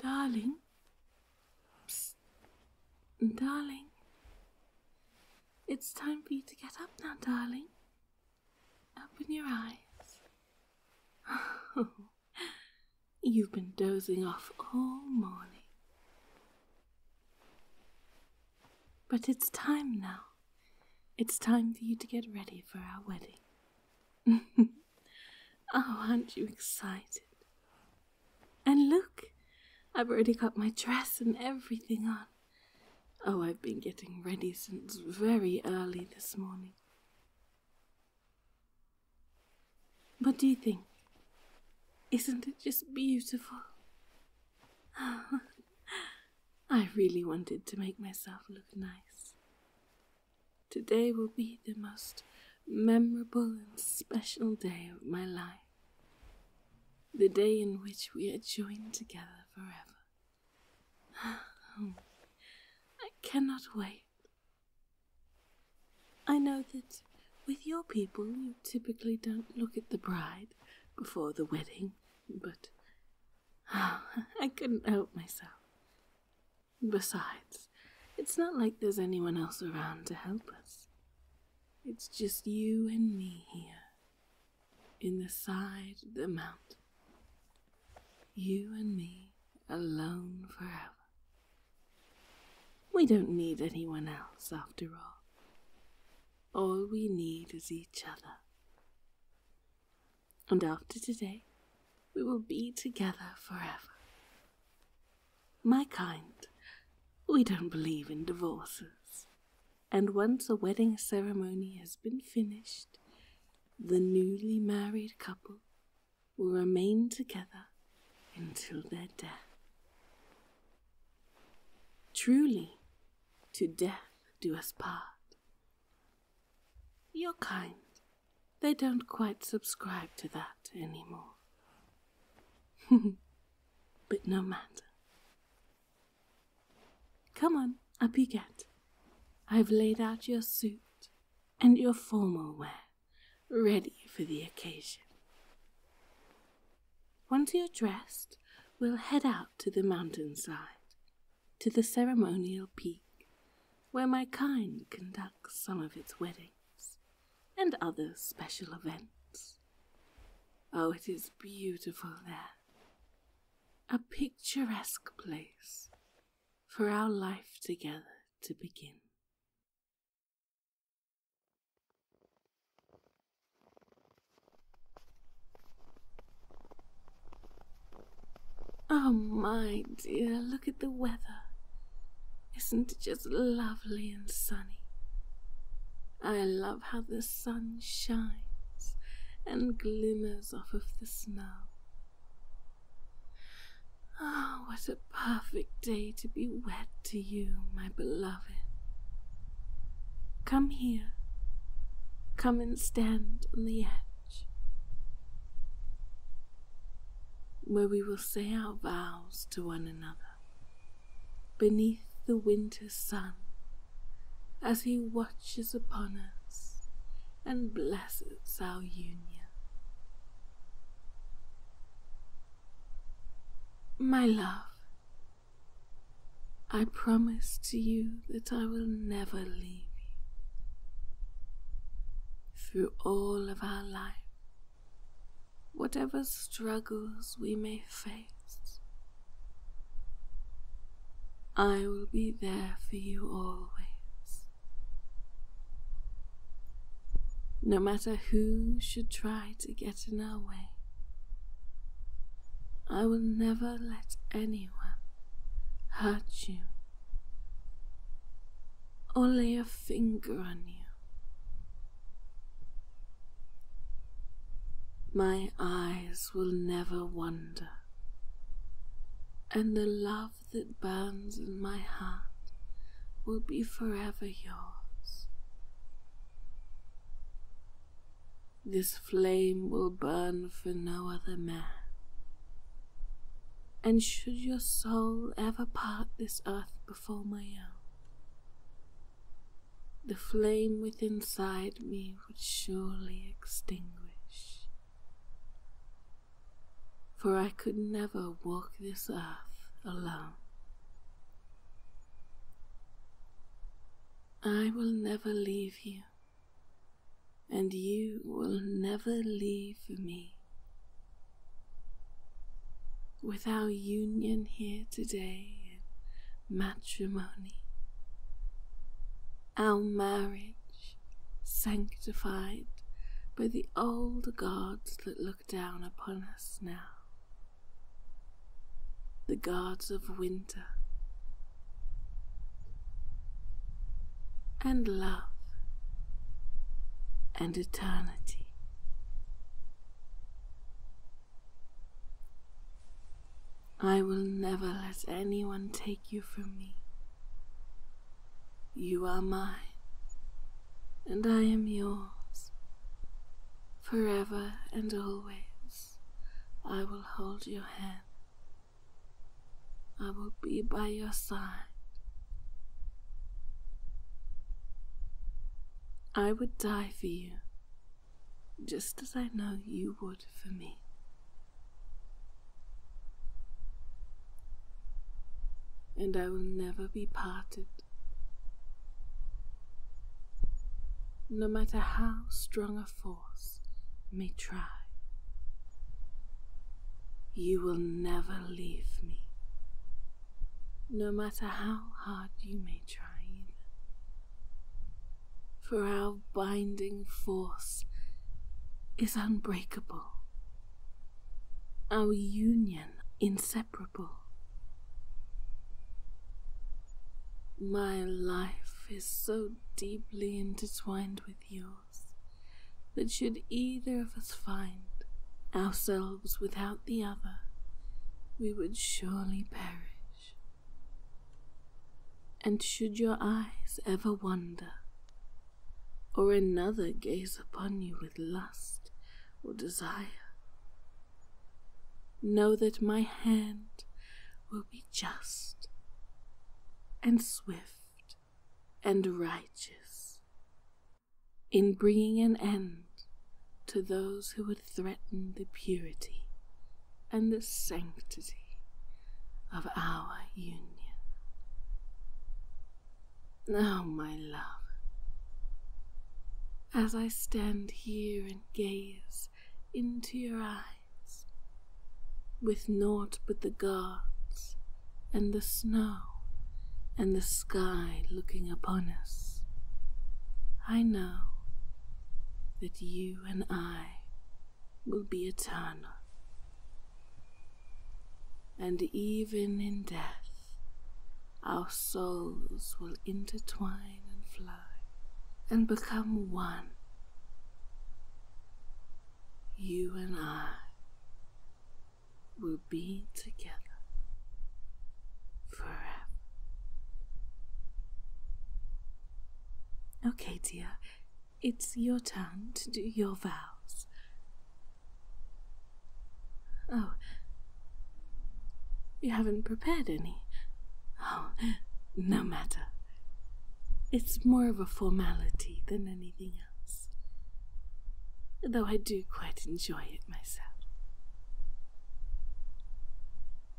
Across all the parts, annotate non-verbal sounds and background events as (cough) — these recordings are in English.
Darling. Darling. It's time for you to get up now, darling. Open your eyes. (laughs) you've been dozing off all morning. But it's time now. It's time for you to get ready for our wedding. (laughs) Oh, aren't you excited? And look, I've already got my dress and everything on. Oh, I've been getting ready since very early this morning. What do you think? Isn't it just beautiful? (laughs) I really wanted to make myself look nice. Today will be the most memorable and special day of my life. The day in which we are joined together forever. (sighs) I cannot wait. I know that with your people you typically don't look at the bride before the wedding, but (sighs) I couldn't help myself. Besides, it's not like there's anyone else around to help us. It's just you and me here, in the side of the mountain. You and me alone forever. We don't need anyone else after all. All we need is each other. And after today, we will be together forever. My kind, we don't believe in divorces. And once a wedding ceremony has been finished, the newly married couple will remain together until their death. Truly, to death do us part. You're kind. They don't quite subscribe to that anymore. (laughs) but no matter. Come on, up you get. I've laid out your suit and your formal wear, ready for the occasion. Once you're dressed, we'll head out to the mountainside to the ceremonial peak where my kind conducts some of its weddings and other special events. Oh, it is beautiful there. A picturesque place for our life together to begin. Oh, my dear, look at the weather. Isn't it just lovely and sunny? I love how the sun shines and glimmers off of the snow. Oh, what a perfect day to be wet to you, my beloved. Come here. Come and stand on the edge where we will say our vows to one another beneath the winter sun as he watches upon us and blesses our union. My love, I promise to you that I will never leave you. Through all of our life, whatever struggles we may face, I will be there for you always. No matter who should try to get in our way, I will never let anyone anyone hurt you or lay a finger on you. My eyes will never wander, and the love that burns in my heart will be forever yours. This flame will burn for no other man. And should your soul ever part this earth before my own, the flame within inside me would surely extinguish. For I could never walk this earth alone. I will never leave you, and you will never leave me. With our union here today matrimony, our marriage sanctified by the old gods that look down upon us now the gods of winter, and love, and eternity. I will never let anyone take you from me. You are mine, and I am yours, forever and always. I will hold your hand. I will be by your side. I would die for you, just as I know you would for me. And I will never be parted. No matter how strong a force may try, you will never leave me. No matter how hard you may try, either. For our binding force is unbreakable, our union inseparable. My life is so deeply intertwined with yours that should either of us find ourselves without the other, we would surely perish. And should your eyes ever wander, or another gaze upon you with lust or desire, Know that my hand will be just and swift and righteous in bringing an end to those who would threaten the purity and the sanctity of our union. Now, my love, as I stand here and gaze into your eyes, with naught but the gods and the snow and the sky looking upon us, I know that you and I will be eternal. And even in death, our souls will intertwine and fly and become one. You and I will be together forever. Okay, dear, it's your turn to do your vows. Oh. You haven't prepared any? Oh, no matter. It's more of a formality than anything else. Though I do quite enjoy it myself.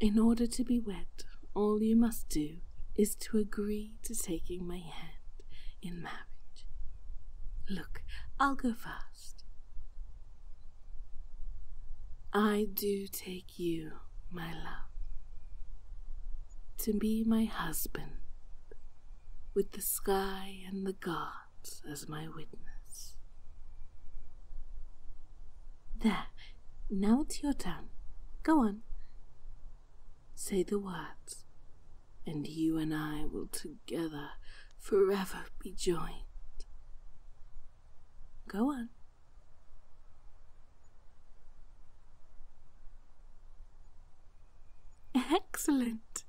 In order to be wed, all you must do is to agree to taking my hand in marriage. Look, I'll go fast. I do take you, my love, to be my husband, with the sky and the gods as my witness. There, now it's your turn. Go on. Say the words, and you and I will together forever be joined. Go on. Excellent.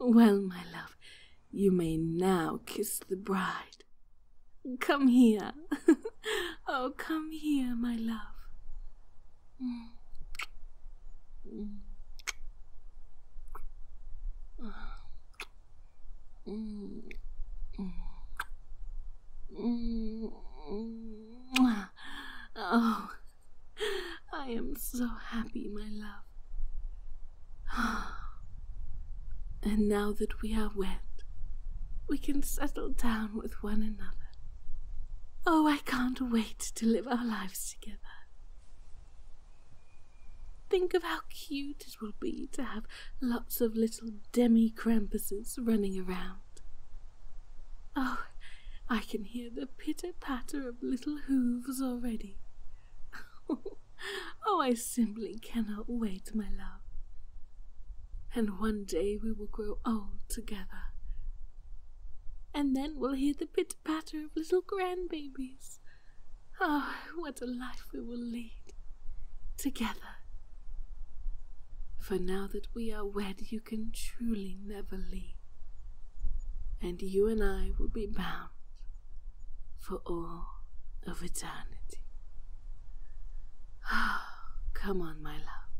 Well, my love, you may now kiss the bride. Come here. (laughs) oh, come here, my love. Mm. Mm. Oh, I am so happy, my love. And now that we are wet, we can settle down with one another. Oh, I can't wait to live our lives together. Think of how cute it will be to have lots of little demi Krampuses running around. Oh, I can hear the pitter patter of little hoofs already. (laughs) oh, I simply cannot wait, my love. And one day we will grow old together. And then we'll hear the pitter intricate of little grandbabies. Ah, oh, what a life we will lead together. For now that we are wed, you can truly never leave, and you and I will be bound for all of eternity. Ah, come on, my love,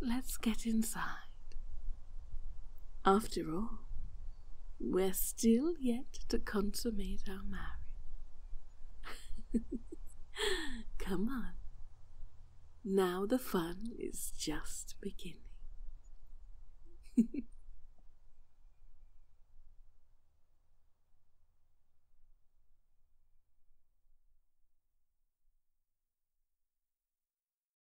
let's get inside. After all, we're still yet to consummate our marriage. (laughs) Come on. Now the fun is just beginning.